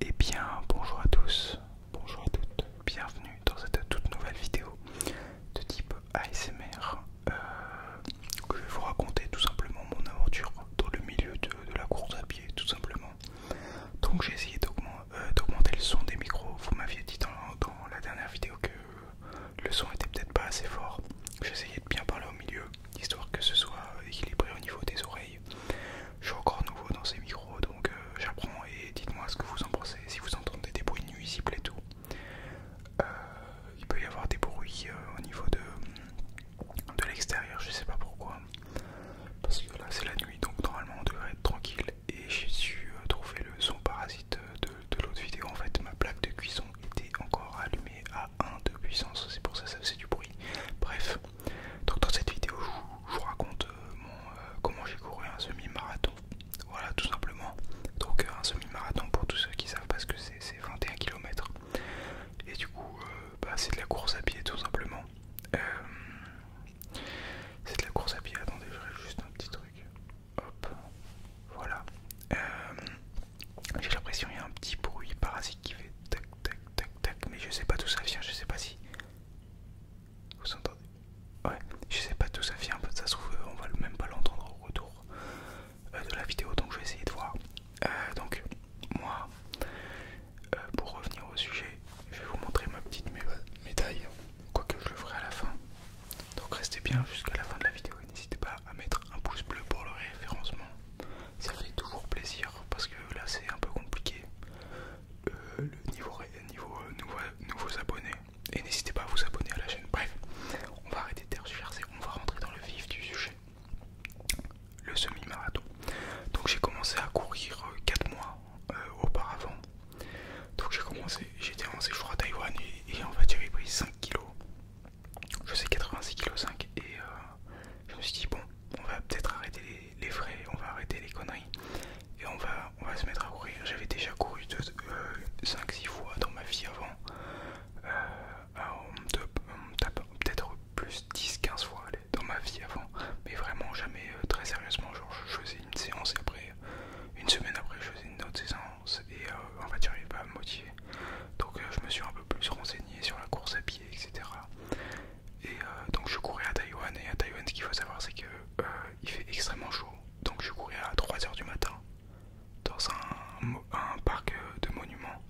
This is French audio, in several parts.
Eh bien bonjour à tous, bonjour à toutes, bienvenue dans cette toute nouvelle vidéo de type ASMR euh, que je vais vous raconter tout simplement mon aventure dans le milieu de, la course à pied tout simplement. Donc j'ai essayé euh, d'augmenter le son des micros, vous m'aviez dit dans, la dernière vidéo que le son était peut-être pas assez fort. J'ai essayé de bien parler au milieu, histoire que ce soit équilibré au niveau des oreilles je suis encore nouveau dans ces micros donc euh, j'apprends et dites-moi ce que vous en pensez. Si vous entendez des bruits nuisibles et tout, euh, il peut y avoir des bruits euh, au niveau de, de l'extérieur, je sais pas pourquoi. Parce que là c'est la nuit donc normalement on devrait être tranquille. Et j'ai su trouver le son parasite de, l'autre vidéo. En fait, ma plaque de cuisson était encore allumée à 1 de puissance, c'est pour ça que ça du bruit. Bref. Donc dans cette vidéo, je, vous raconte euh, euh, comment j'ai couru un semi-marathon. Voilà, tout simplement. Donc euh, un semi-marathon pour tous ceux qui savent parce que c'est 21 km. Et du coup, bah, c'est de la course à pied tout simplement. c'est de la course à pied. Attendez, j'aurai juste un petit truc. Hop, voilà. j'ai l'impression qu'il y a un petit bruit parasite qui fait tac tac tac mais je sais pas d'où ça vient, je sais pas si. Vous entendez Ouais, je sais pas d'où ça vient, ça se trouve, euh, on va même pas l'entendre au retour euh, de la vidéo, donc je vais essayer de voir. Euh, donc, moi, pour revenir au sujet, je vais vous montrer ma petite médaille, quoique je le ferai à la fin. Donc, restez bien jusqu'à la fin de la vidéo et n'hésitez pas à mettre un pouce bleu pour le référencement ça fait toujours plaisir parce que là c'est un peu compliqué euh, le niveau, niveau euh, nouveaux abonnés et n'hésitez pas à vous abonner à la chaîne bref on va arrêter de rechercher on va rentrer dans le vif du sujet le semi-marathon donc j'ai commencé à courir 4 euh, mois auparavant donc j'ai commencé j'étais en séjour à Taïwan et, et en fait j'avais pris 5 kg je sais 86 kg 5 et je me suis dit bon on va peut-être arrêter les les, frais, on va arrêter les conneries et on va, on va se mettre à courir. J'avais déjà couru 5-6 euh, fois dans ma vie avant. Euh, peut-être plus 10-15 fois dans ma vie avant, mais vraiment jamais euh, très sérieusement. Genre je faisais une séance après, une semaine après, je faisais une autre séance et en fait j'arrivais pas à me motiver. Donc je me suis un peu plus renseigné sur la course à pied, etc. Et euh, donc je courais à Taïwan et à Taïwan ce qu'il faut savoir c'est qu'il euh, il fait extrêmement chaud. Donc je courais à 3h du matin dans un, parc euh, de monuments.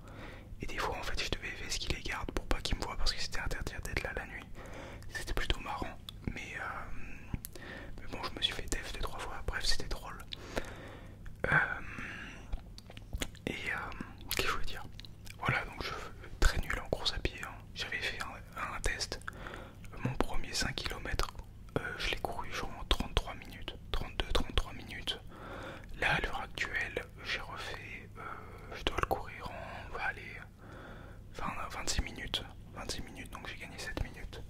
Et des fois en fait je devais faire qu'il les garde pour pas qu'ils me voient parce que c'était interdit d'être là la nuit. C'était plutôt marrant. Mais, mais bon je me suis fait def deux trois fois. Bref c'était drôle. et qu'est-ce que je voulais dire voilà, donc je suis très nul en course à pied. Hein. J'avais fait un, test. Mon premier 5 km, euh, je l'ai couru genre en 33 minutes, 32-33 minutes. Là, à l'heure actuelle, j'ai refait, euh, je dois le courir en, 26 minutes. 26 minutes, donc j'ai gagné 7 minutes.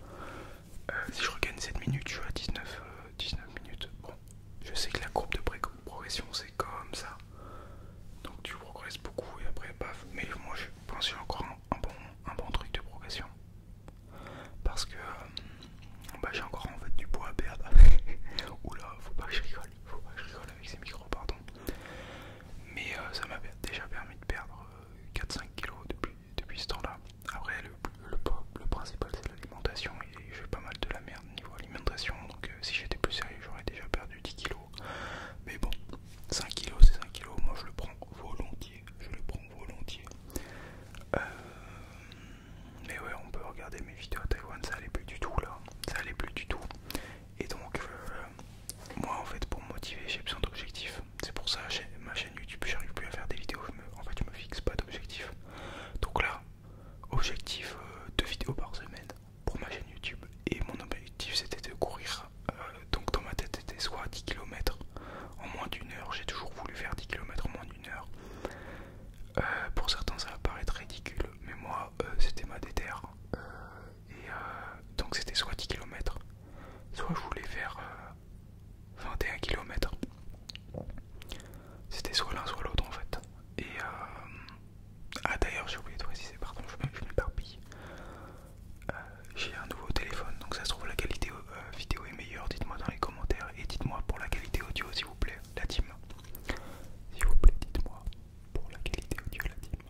Euh, si je regagne 7 minutes, je suis à 19, 19 minutes. Bon, je sais que la courbe de progression c'est comme ça, donc tu progresses beaucoup et après paf. Mais moi je pense que j'ai encore un, bon, truc de progression. Parce que euh, bah, j'ai encore en fait du poids à perdre. Oula, faut pas que je rigole, faut pas que je rigole avec ces micros, pardon. Mais euh, ça m'a déjà permis de perdre 4-5 euh, kilos depuis, ce temps-là. Après le, principal c'est l'alimentation et j'ai pas mal de la merde niveau alimentation. Donc euh, si j'étais plus sérieux, j'aurais déjà perdu 10 kg Mais bon, 5 kg c'est 5 kg Moi, je le prends volontiers. Je le prends volontiers. Euh, mais ouais, on peut regarder mes vidéos à Taïwan. Ça allait plus du tout là. Ça allait plus du tout. Et donc, euh, moi, en fait, pour me motiver, j'ai besoin d'objectifs. C'est pour ça, ma chaîne YouTube, j'arrive plus à faire des vidéos. en fait, je me fixe pas d'objectifs. Donc là, Objectif euh, deux vidéos par semaine pour ma chaîne YouTube et mon objectif c'était de courir. Euh, donc dans ma tête c'était soit 10 km en moins d'une heure. J'ai toujours voulu faire 10 km en moins d'une heure. Euh, pour certains ça va paraître ridicule mais moi c'était ma déterre. et donc c'était soit 10 km, soit je voulais faire 21 km. C'était soit l'un soit l'autre en fait. Et ah d'ailleurs j'ai oublié de préciser, pardon, je m'éparpille. Euh, j'ai un nouveau téléphone, donc ça se trouve la qualité euh, vidéo est meilleure, dites-moi dans les commentaires et dites-moi pour la qualité audio s'il vous plaît, la team. S'il vous plaît, dites-moi pour la qualité audio, la team.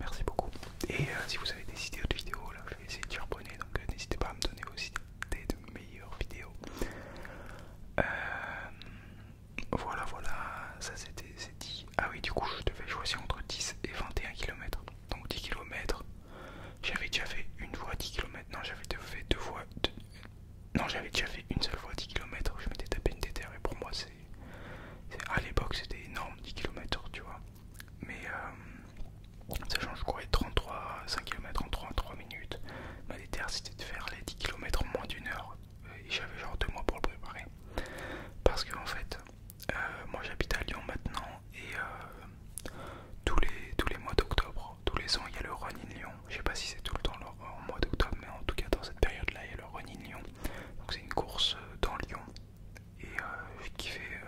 Merci beaucoup. Et euh, si vous avez des idées de vidéos, là je vais essayer de charbonner, donc n'hésitez pas à me donner aussi des idées de meilleures vidéos. Euh, voilà, voilà, ça c'était dit. Ah oui, du coup, je devais choisir entre 10 et 21 km. Donc 10 km, j'avais déjà fait une fois 10 km. Non, j'avais déjà fait deux fois. Non, j'avais déjà fait une seule fois 10 km. Je m'étais tapé une déter, et pour moi, c'est. À l'époque, c'était énorme 10 km, tu vois. Mais euh, sachant que je courais 33, 5 km en 3, minutes, ma déter, c'était de faire les 10 km en moins d'une heure. Euh, et j'avais genre deux mois pour le préparer. Parce que en fait, euh, moi j'habite à Lyon maintenant et euh, tous, les, tous les mois d'octobre, tous les ans il y a le Run in Lyon. Je sais pas si c'est tout le temps en mois d'octobre, mais en tout cas dans cette période là il y a le Run in Lyon. Donc c'est une course dans Lyon et qui fait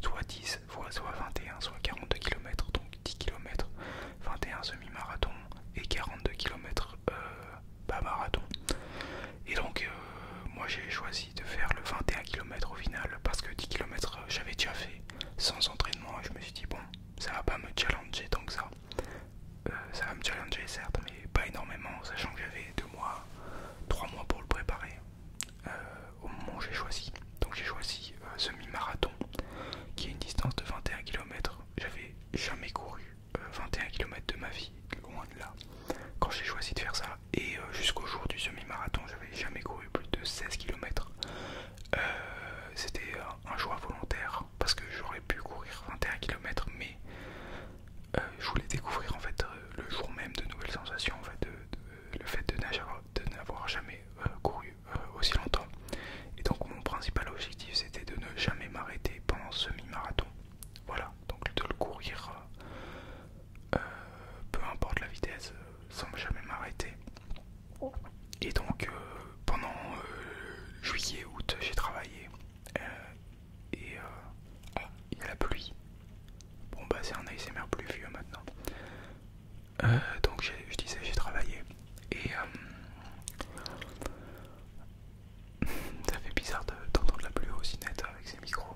soit 10, soit 21, soit 42 km. Donc 10 km, 21 semi-marathon et 42 km euh, bas pas marathon. Et donc euh, moi j'ai choisi de faire le 21 km au final parce que 10 km euh, j'avais déjà fait sans entraînement et je me suis dit bon ça va pas me challenger tant que ça. ça va me challenger certes mais pas énormément sachant que j'avais 2 mois, 3 mois pour le préparer au moment où j'ai choisi. Donc j'ai choisi semi-marathon qui est une distance de 21 km j'avais jamais couru 21 euh, km de ma vie, loin de là, quand j'ai choisi de faire ça. Et euh, jusqu'au jour du semi-marathon, j'avais jamais couru plus de 16 km. Euh, c'était un choix volontaire parce que j'aurais pu courir 21 km, mais je voulais découvrir en fait le jour même de nouvelles sensations, en fait, de, le fait de n'avoir jamais couru euh, aussi longtemps. Et donc mon principal objectif c'était de ne jamais m'arrêter pendant ce mi-marathon. Voilà, donc de le courir euh, euh, peu importe la vitesse, sans jamais m'arrêter. Et donc pendant juillet, août, j'ai travaillé. et il y a la pluie. Bon bah c'est un ASMR pluvieux maintenant. donc je disais j'ai travaillé et euh, ça fait bizarre d'entendre la pluie aussi nette avec ces micros.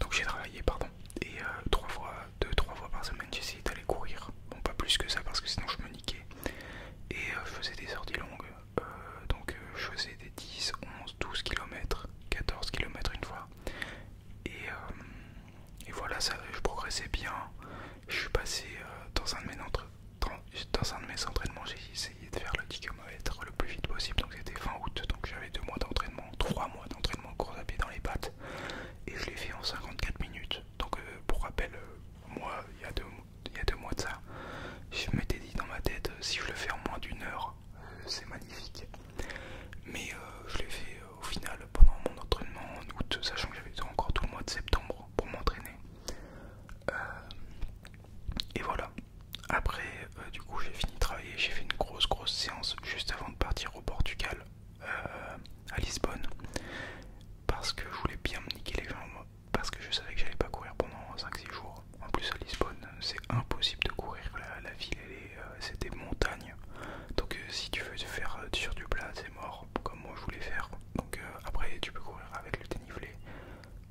Donc j'ai travaillé, pardon. Et euh, trois fois, deux, trois fois par semaine, j'essayais d'aller courir. Bon, pas plus que ça parce que sinon je me niquais. Et euh, je faisais des sorties longues. donc je faisais des 10, 11, 12 km, 14 km une fois. Et, voilà, ça, je progressais bien. Je suis passé dans un de mes entre dans un de mes entraînements, j'ai essayé de faire le 10 km le plus vite possible. Donc c'était fin août, donc j'avais 2 mois d'entraînement, 3 mois d'entraînement course à pied dans les pattes. Et je l'ai fait en 54 minutes. Donc euh, pour rappel, euh, moi, il y, a deux mois de ça, je m'étais dit dans ma tête, euh, si je le fais en moins d'une heure, c'est magnifique. Mais je l'ai fait au final pendant mon entraînement en août, sachant que j'avais encore tout le mois de septembre pour m'entraîner. Euh, et voilà. Après, euh, du coup, j'ai fini de travailler. J'ai fait une grosse, grosse séance juste avant de partir au Portugal, euh, à Lisbonne, parce que je voulais bien me niquer les jambes, parce que je savais que j'allais pas courir pendant 5-6 jours. En plus, à Lisbonne, c'est impossible de courir. La, ville, c'est des montagnes. Donc, si tu veux te faire sur du plat, c'est mort, comme moi je voulais faire. Donc euh, après tu peux courir avec le dénivelé.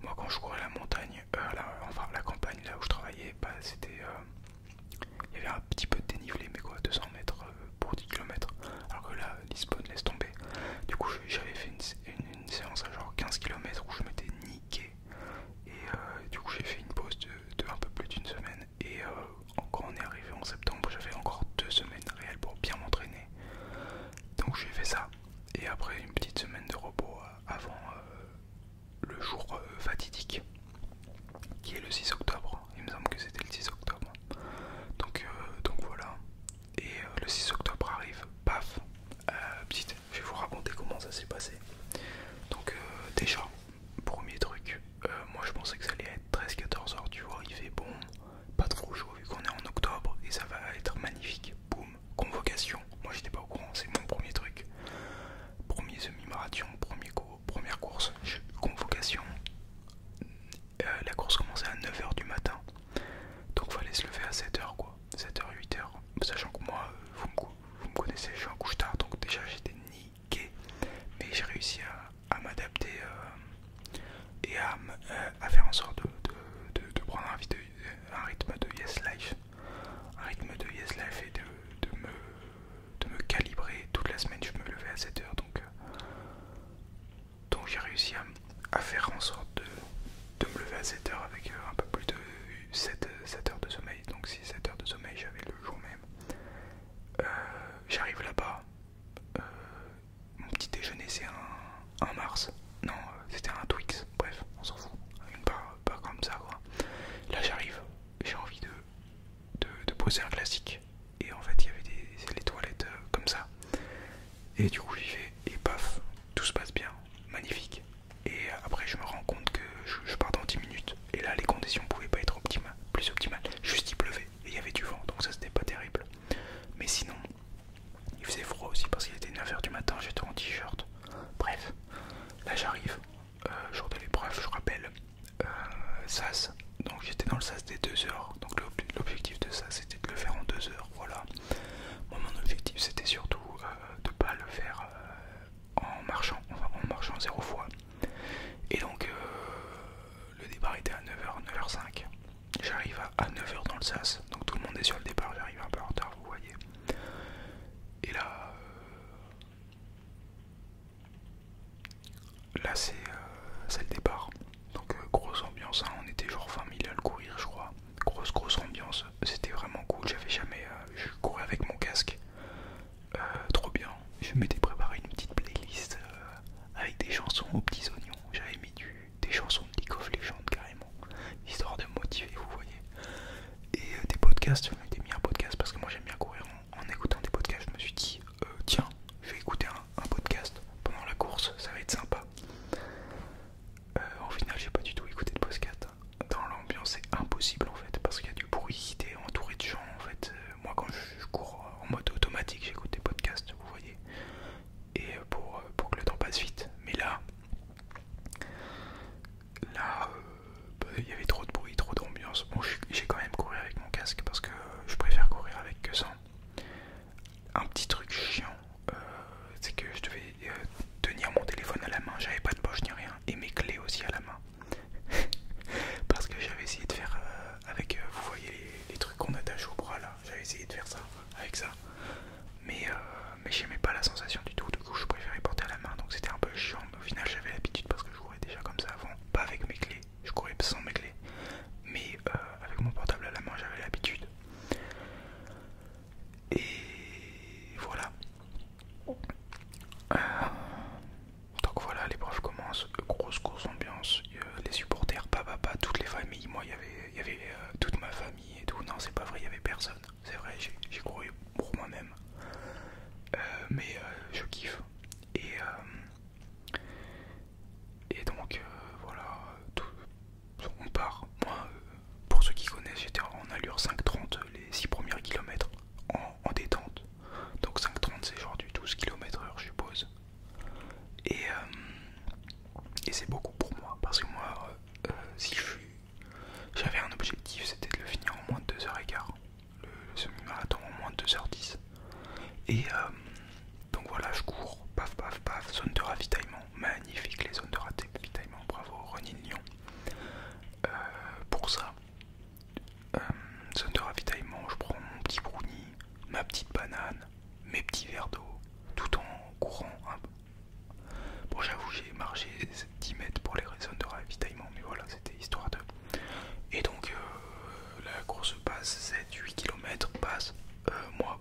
Moi quand je courais la montagne, euh, enfin la campagne là où je travaillais, bah, c'était... Euh, il y avait un petit peu de dénivelé mais quoi, 200 mètres pour 10 km. Alors que là, Lisbonne laisse tomber. Du coup j'avais fait une, séance à genre 15 km où je m'étais niqué. Et du coup j'ai fait une pause de, un peu plus d'une semaine. Et encore on est arrivé en septembre, j'avais encore deux semaines réelles pour bien m'entraîner. Donc j'ai fait ça. Et après une petite semaine de repos euh, avant euh, le jour euh, fatidique, qui est le 6 octobre. Il me semble que c'était le 6 octobre. Donc, donc voilà. Et le 6 octobre arrive. Paf. petite, je vais vous raconter comment ça s'est passé. Donc déjà, premier truc, moi je pensais que ça allait être 13-14 heures, tu vois, il fait bon pas trop chaud vu qu'on est en octobre et ça va être magnifique. Boum, convocation. Moi j'étais pas au courant, c'est mon premier truc. Premier semi-marathon, premier cours, première course, convocation. Euh, la course commençait à 9h du matin. Donc fallait se lever à 7h quoi. 7h, 8h. Sachant que moi, euh, vous me, vous me connaissez, je suis un couche tard, donc déjà j'étais niqué. Mais j'ai réussi à à m'adapter euh, et euh, à, faire en sorte de, prendre un, rythme de Yes Life, un rythme de Yes Life et de, me, me calibrer. Toute la semaine, je me levais à 7 h donc, donc j'ai réussi à, faire en sorte de, me lever à 7 h avec euh, un peu plus de 7, 7 heures de sommeil. Donc si 7 heures de sommeil, j'avais le jour même. J'arrive là-bas, mon petit déjeuner c'est un, Mars. Non, euh, c'était un Twix. Bref, on s'en fout. pas comme ça quoi. Là j'arrive, j'ai envie de, de, poser un classique. Et en fait il y avait des, les toilettes euh, comme ça. Et du coup j'y vais et paf, tout se passe bien. Magnifique. Et euh, après je me rends compte que je, pars dans 10 minutes. Et là les conditions pouvaient pas être optimales, plus optimales. Juste il pleuvait. Et il y avait du vent, donc ça c'était pas terrible. Mais sinon, il faisait froid aussi parce qu'il était 9h du matin, j'étais en t-shirt. Bref, là j'arrive, euh, jour de l'épreuve, je rappelle, euh, SAS. Donc j'étais dans le SAS des 2 heures. Donc l'objectif de ça c'était de le faire en 2 heures. Voilà. Moi mon objectif c'était surtout de euh, de pas le faire en marchant, en marchant zéro fois. Et donc le départ était à 9h, 9h05. J'arrive à 9h dans le SAS, donc tout le monde est sur le départ, j'arrive un peu en retard, vous voyez. Et là, euh, là euh, c'est le départ. Donc euh, grosse ambiance, hein. on était genre 20 à le courir je crois. Grosse grosse ambiance, c'était vraiment cool, j'avais jamais... je courais avec mon casque, trop bien. Je m'étais préparé une petite playlist avec des chansons aux petits oignons. J'avais mis des chansons de League of Legends carrément, histoire de motiver, vous voyez. Et euh, des podcasts, j'en ai mis un podcast parce que moi j'aime bien courir. En, écoutant des podcasts, je me suis dit, euh, tiens, je vais écouter un, podcast pendant la course, ça va être sympa. En euh, au final, j'ai pas du tout écouté de podcast. Dans l'ambiance, c'est impossible en fait, parce qu'il y a du bruit, t'es entouré de gens en fait. moi, quand je je cours en mode automatique, j'écoute des podcasts, vous voyez, et euh, pour, euh, pour que le temps passe vite. Mais là, là, euh, bah, il y avait trop de bruit, trop d'ambiance. Bon, j'ai quand même couru avec mon casque parce que je préfère courir avec que sans. Un petit truc chiant, c'est que je devais tenir mon téléphone à la main, j'avais pas de poche ni rien, et mes clés aussi à la main. Parce que j'avais essayé de faire avec, vous voyez, les trucs qu'on attache au bras là. J'avais essayé de faire ça avec ça. Euh, mais, j'aimais pas la sensation du tout. Du coup, je préférais porter à la main. Donc c'était un peu chiant. Mais au final, j'avais l'habitude parce que je courais déjà comme ça avant. Pas avec mes clés. Je courais sans mes clés. Mais euh, avec mon portable à la main, j'avais l'habitude. Et voilà. Euh, donc voilà, l'épreuve commence, grosse course ambiance, euh, les supporters, papa, toutes les familles, moi il y avait, euh, toute ma famille et tout, non c'est pas vrai, il y avait personne, c'est vrai, j'ai couru pour moi-même, euh, mais je kiffe, et, et donc voilà, on part, moi, pour ceux qui connaissent, j'étais en allure 5.30 les 6 premiers kilomètres en, détente, donc 5.30 c'est genre du 12 km/h je suppose, euh, et, c'est beaucoup pour moi parce que moi, euh, euh, si j'avais un objectif, c'était de le finir en moins de 2h15, le, semi-marathon en moins de 2h10. Et donc voilà, je cours, paf paf paf, zone de ravitaillement, magnifique les zones de ravitaillement, bravo René Lyon. pour ça, zone de ravitaillement, je prends mon petit brownie, ma petite banane, mes petits verres d'eau, tout en courant un Bon, j'avoue, j'ai marché 10 mètres pour les zones de ravitaillement, mais voilà, c'était histoire de. Et donc, euh, la course passe 7-8 km, passe. Euh, moi,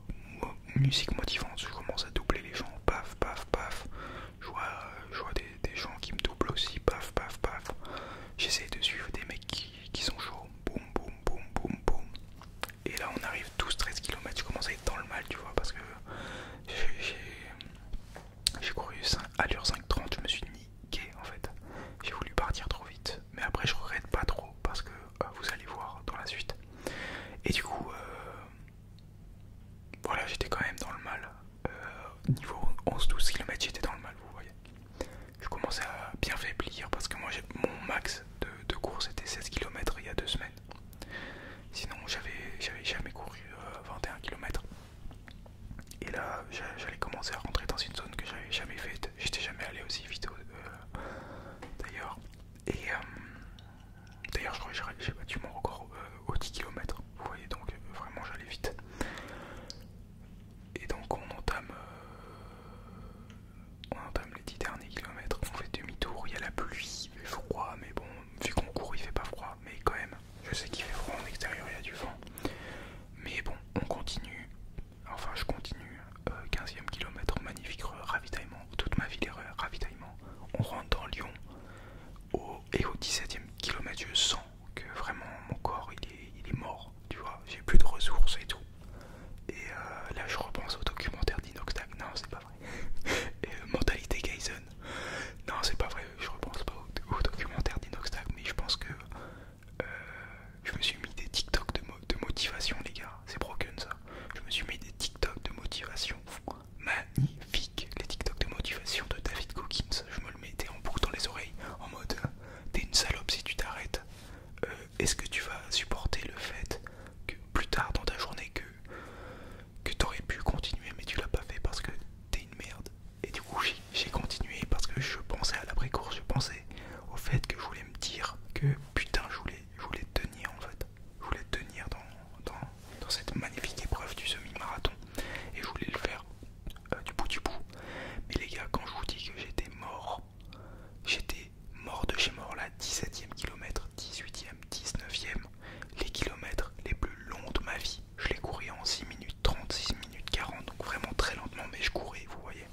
musique motivante, je commence à doubler les gens, paf, paf, paf. Je vois, des, gens qui me doublent aussi, paf, paf, paf. J'essaie de suivre des mecs qui, sont chauds, boum boum boum boum boum. Et là on arrive 12-13 km, je commence à être dans le mal, tu vois, parce que j'ai couru à l'heure 5.30, je me suis niqué en fait. J'ai voulu partir trop vite, mais après je regrette pas trop, parce que euh, vous allez voir dans la suite. Et du coup, euh, voilà, j'étais quand même dans le mal. Euh, niveau 11-12 km, j'étais dans le mal, vous voyez je commençais à bien faiblir parce que moi mon max de, course était 16 km il y a deux semaines. Sinon j'avais jamais couru 21 euh, km. Et là j'allais commencer à rentrer dans une zone que j'avais jamais faite. J'étais jamais allé aussi vite euh, d'ailleurs. Et euh, d'ailleurs je crois que j'ai battu mon record au 10 km. Vous voyez donc vraiment j'allais vite. Et donc on entame, euh, on entame les 10 derniers kilomètres, on fait demi-tour, il y a la pluie, il fait froid, mais bon, vu qu'on court il fait pas froid, mais quand même, je sais qu'il fait froid en extérieur, il y a du vent. Mais bon, on continue, enfin je continue, 15ème euh, kilomètre, magnifique ravitaillement, toute ma vie les ravitaillement, on rentre dans Lyon, et au 17ème kilomètre je sens que euh, vraiment mon corps il est, mort, tu vois, j'ai plus de ressources et tout. Et euh, là je repense au documentaire d'Inoxtag, non c'est pas vrai. Euh, mentalité non c'est pas vrai, je repense pas au, documentaire d'Inoxtag, mais je pense que je me suis mis des TikTok de, de motivation les gars, c'est broken ça. Je me suis mis des TikTok de motivation, magnifique, les TikTok de motivation de David Cookins, je me le mettais en boucle dans les oreilles en mode t'es une salope si tu t'arrêtes. Euh, est-ce que tu vas supporter le fait que plus tard dans ta journée que, que t'aurais pu continuer mais tu l'as pas fait parce que t'es une merde Et du coup j'ai continué parce que je pensais à l'après-course, je pensais au fait que je voulais me dire que putain je voulais, je voulais tenir en fait. Je voulais tenir dans cette magnifique épreuve du semi-marathon et je voulais le faire euh, du bout du bout. Mais les gars, quand je vous dis que j'étais mort, j'étais mort de chez mort la 17e kilomètre, 18e, 19e, les kilomètres les plus longs de ma vie. Je les courais en 6 minutes 30, 6 minutes 40, donc vraiment très lentement, mais je courais, vous voyez.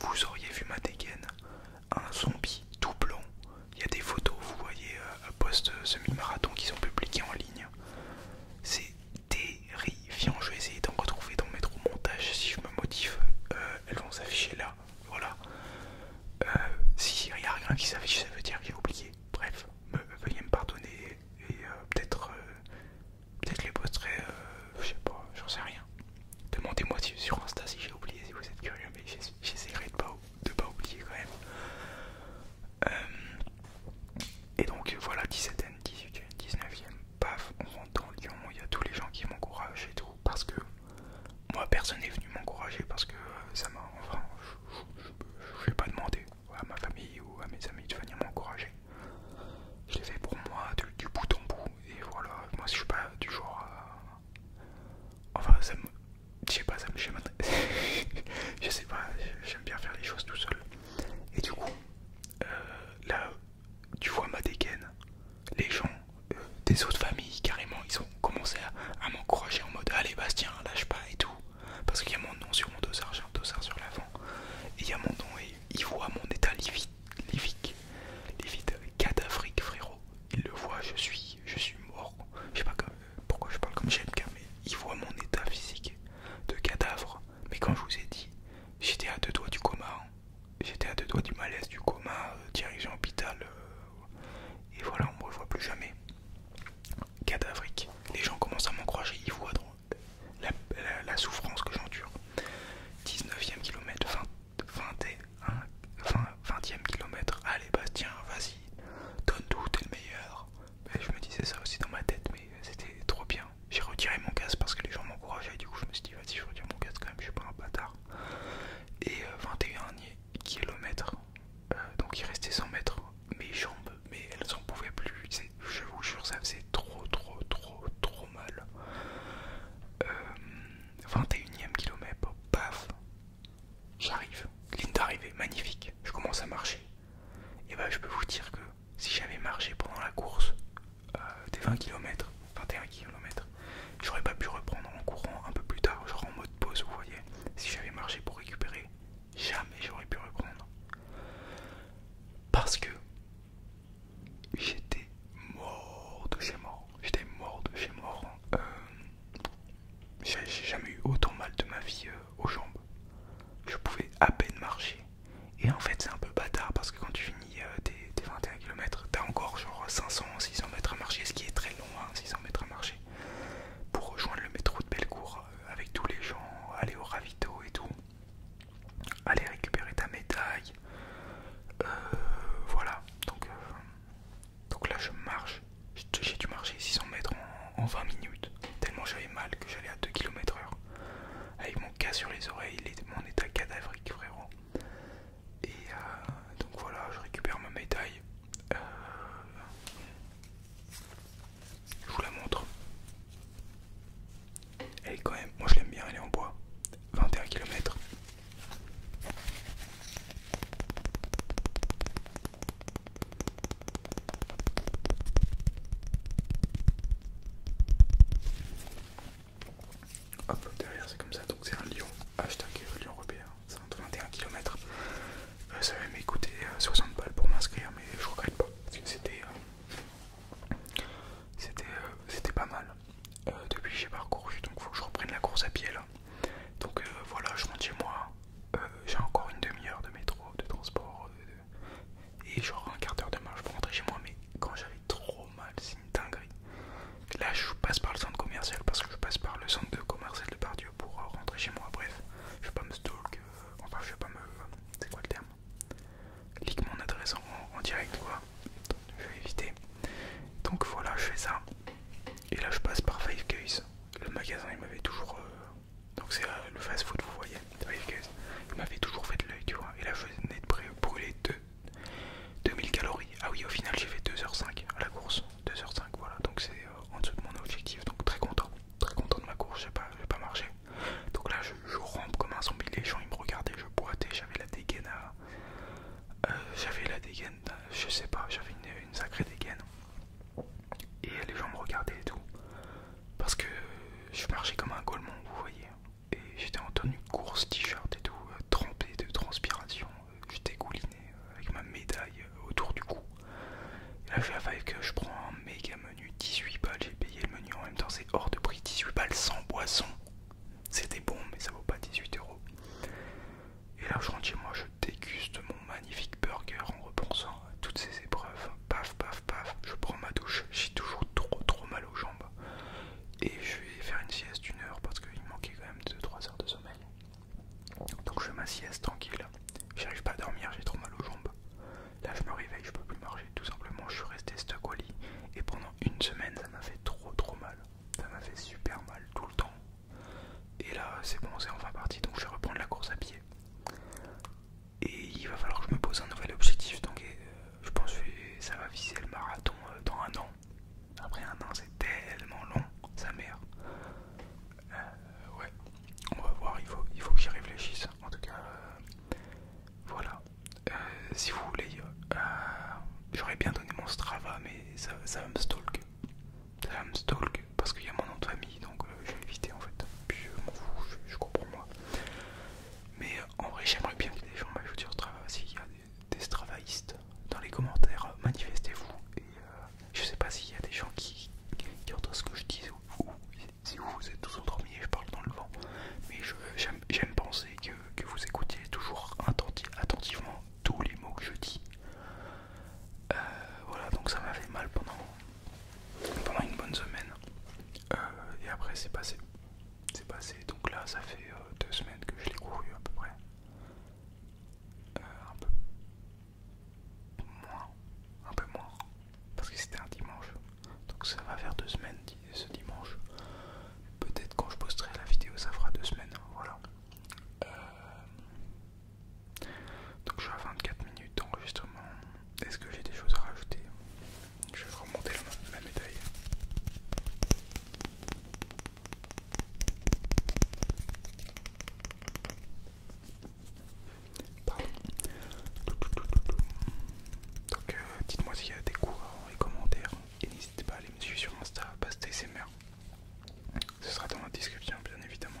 Vous auriez vu ma dégaine, un zombie tout blanc. Il y a des photos, vous voyez, euh, post-semi-marathon euh, qui sont publiées en ligne. C'est terrifiant. Je vais essayer d'en retrouver, dans mes au montage si je me motive. Euh, elles vont s'afficher là, voilà. Euh, si il n'y a rien qui s'affiche, ça veut dire que j'ai oublié. Bref, veuillez me pardonner et euh, peut-être peut-être les posterai, je sais pas, j'en sais rien. Demandez-moi sur Insta si j'ai oublié, si vous êtes curieux, mais j'essaierai de pas, pas oublier quand même. Et donc voilà, 17ème, 18ème, 19ème, paf, on rentre dans Lyon, il y a tous les gens qui m'encouragent et tout, parce que moi personne n'est venu m'encourager parce que euh, ça m'a, enfin, je vais pas demander à ma famille ou à mes amis de venir m'encourager. Je l'ai fait pour moi, du, bout en bout, et voilà, moi je suis pas du genre Enfin, ça me... Je sais pas, ça me je sais pas, j'aime bien faire les choses tout seul. Et du coup, euh, là, tu vois ma dégaine, les gens euh, des autres familles, carrément, ils ont commencé à, m'encourager en mode Allez, Bastien, lâche pas et tout. Parce qu'il y a mon nom sur mon dosard, j'ai un dosard sur l'avant, et il y a mon nom, et il voit mon état livide, livide, cadavrique, frérot. Il le voit, je suis, je suis mort. Je sais pas pourquoi je parle comme j'aime car mais ils voit mon état physique de cadavre mais quand je vous ai dit, j'étais à deux doigts du coma, hein. j'étais à deux doigts du malaise, du coma, euh, dirigeant hôpital, euh, et voilà, on ne me voit plus jamais. Cadavrique, les gens commencent à m'encrocher, ils voient la, souffrance que j'endure. 19ème kilomètre, 20, 20, e kilomètre, allez Bastien, vas-y, donne tout, t'es le meilleur je me disais ça aussi dans ma tête, mais c'était trop bien. J'ai retiré mon casque parce que les gens m'encourageaient, du coup je me suis dit vas-y je retire mon casque quand même, je suis pas un bâtard. Et 21 km, kilomètre donc il restait 100 mètres. Mes jambes, mais elles en pouvaient plus. Je vous jure, ça faisait trop, trop, trop, trop mal. 21 e kilomètre, paf, j'arrive. Ligne d'arrivée, magnifique. Je commence à marcher et bah je peux vous dire que si j'avais marché pendant la course euh, des 20 km, 21 km, j'aurais pas pu reprendre en courant un peu plus tard, genre en mode pause, vous voyez. Si j'avais marché pour récupérer, jamais j'aurais pu reprendre. Parce que j'étais mort de chez mort. J'étais mort de chez mort. Euh, j'ai jamais eu autant mal de ma vie euh, aux jambes. Je pouvais à peine marcher. Et en fait, c'est un peu bâtard parce que quand tu finis euh, tes, 21 km, t'as encore genre 500, 600 mètres à marcher, ce qui est très long, 600 hein, mètres à marcher, pour rejoindre le métro de Bellecour euh, avec tous les gens, aller au ravito et tout, aller récupérer ta médaille. Euh, voilà, donc, donc là je marche, j'ai dû marcher 600 mètres en, 20 minutes, tellement j'avais mal que j'allais à 2 km heure, avec mon cas sur les oreilles, mon état cadavérique frérot. Et euh, donc voilà, je récupère ma médaille. Euh, je vous la montre. Elle est quand même, moi je l'aime bien, elle est en bois. 21 km. Hop, derrière c'est comme ça, donc c'est un lion, hashtag lion européen, 121 km. Euh, ça va m'écouter coûté euh, 60 balles pour m'inscrire, mais je regrette pas, parce que c'était euh, pas mal. depuis j'ai parcouru, donc faut que je reprenne la course à pied là. Donc voilà, je rentre chez moi, j'ai encore une demi-heure de métro, de transport, et genre un quart d'heure de marche pour rentrer chez moi. Mais quand j'avais trop mal, c'est une dinguerie. Là, je passe par le centre commercial parce que je passe par le centre de commercial de Pardieu pour rentrer chez moi. Bref, je vais pas me stalk, euh, enfin, je vais pas me. C'est quoi le terme clique mon adresse en, direct, quoi. je vais éviter. Donc voilà, je fais ça. Et là, je passe par Five Guys. Le magasin, il m'avait toujours. Euh, donc c'est euh, le fast food, vous voyez, il m'avait toujours fait de l'œil, tu vois. Et là, je venais de brûler 2000 calories. Ah oui, au final, j'ai fait 2h05 à la course. 2h05, voilà. Donc c'est euh, en dessous de mon objectif. Donc très content, très content de ma course. J'ai pas, pas marché. Donc là, je, rampe comme un zombie. Les gens, ils me regardaient, je boitais. J'avais la dégaine euh, j'avais la dégaine, je sais pas, j'avais une sacrée dégaine. Et les gens me regardaient et tout parce que je marchais comme un golemon, vous voyez. Et j'étais en tenue course, t-shirt et tout, euh, trempé de transpiration. J'étais gouliné euh, avec ma médaille euh, autour du cou. Et là, je la que je prends un méga menu, 18 balles. J'ai payé le menu en même temps, c'est hors de prix, 18 balles sans boisson. C'était bon, mais ça vaut pas 18 euros. Et là, je rentre chez moi, je déguste mon magnifique burger en repensant toutes ces épreuves. Paf, paf, paf, je prends ma douche, j'ai toujours trop, trop mal aux jambes. Et je vais faire une sieste d'une heure parce qu'il manquait quand même 2-3 heures de sommeil. Donc je fais ma sieste tranquille. J'arrive pas à dormir, j'ai trop mal aux jambes. Là je me réveille, je peux plus marcher. Tout simplement, je suis resté stuck au lit. Et pendant une semaine, ça m'a fait trop trop mal. Ça m'a fait super mal tout le temps. Et là, c'est bon, c'est enfin parti. Donc je vais reprendre la course à pied et il va falloir que je me pose un nouvel objectif. Donc euh, je pense que ça va viser le marathon euh, dans un an. Après un an, c'est tellement long, sa mère. Euh, ouais, on va voir, il faut, il faut que j'y réfléchisse. En tout cas, voilà. si vous voulez, j'aurais bien donné mon Strava, mais ça, ça va me stalk. Ça va me stalk parce qu'il y a mon nom de famille donc euh, je vais éviter en fait. Puis je m'en je, je, comprends moi. Mais en vrai, j'aimerais bien que des gens m'ajoutent sur Strava. S'il y a des, des dans les commentaires, manifestez-vous. Et euh, je sais pas s'il y a des gens qui, entendent ce que je dis ou, si vous, êtes tous endormis et je parle dans le vent. Mais j'aime penser que, vous écoutiez toujours attentivement tous les mots que je dis. Euh, voilà, donc ça m'a fait mal pendant pendant une bonne semaine. Euh, et après c'est passé. C'est passé. Donc là ça fait euh, deux semaines que je l'ai couru à peu près. Euh, un peu moins. Un peu moins. Parce que c'était un dimanche. Donc ça va faire deux semaines ce dimanche. Peut-être quand je posterai la vidéo ça fera deux semaines. Voilà. Donc je suis à 24 minutes d'enregistrement. Est-ce que j'ai des choses à rajouter Je vais remonter la, médaille. Pardon. Donc euh, dites-moi s'il y a des cours dans les commentaires et n'hésitez pas à aller me suivre sur Insta, ces TSMR. Ce sera dans la description bien évidemment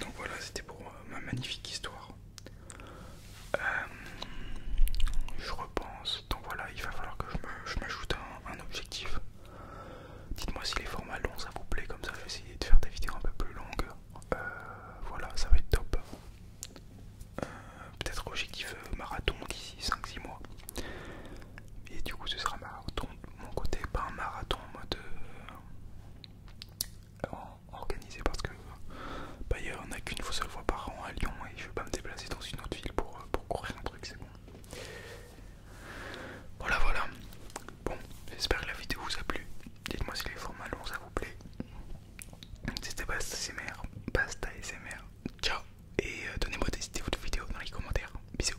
Donc voilà, c'était pour euh, ma magnifique histoire. Euh, je repense. Donc voilà, il va falloir que je m'ajoute un, objectif. Dites-moi si les formats longs ça vous plaît, comme ça je vais essayer de faire des vidéos un peu plus longues. Euh, voilà, ça va être top. Peut-être objectif marathon d'ici 5-6 mois. Et du coup, ce sera marathon de mon côté, pas un marathon en mode organisé parce que euh, bah, y a, on n'a qu'une seule fois par an à Lyon et je veux pas me déplacer dans une autre ville pour, euh, pour courir un truc, c'est bon. Voilà, voilà. Bon, j'espère que la vidéo vous a plu. Dites-moi si les formats longs ça vous plaît. C'était Basta SMR, Basta SMR. Ciao et euh, donnez-moi des idées de vidéo dans les commentaires. Bisous.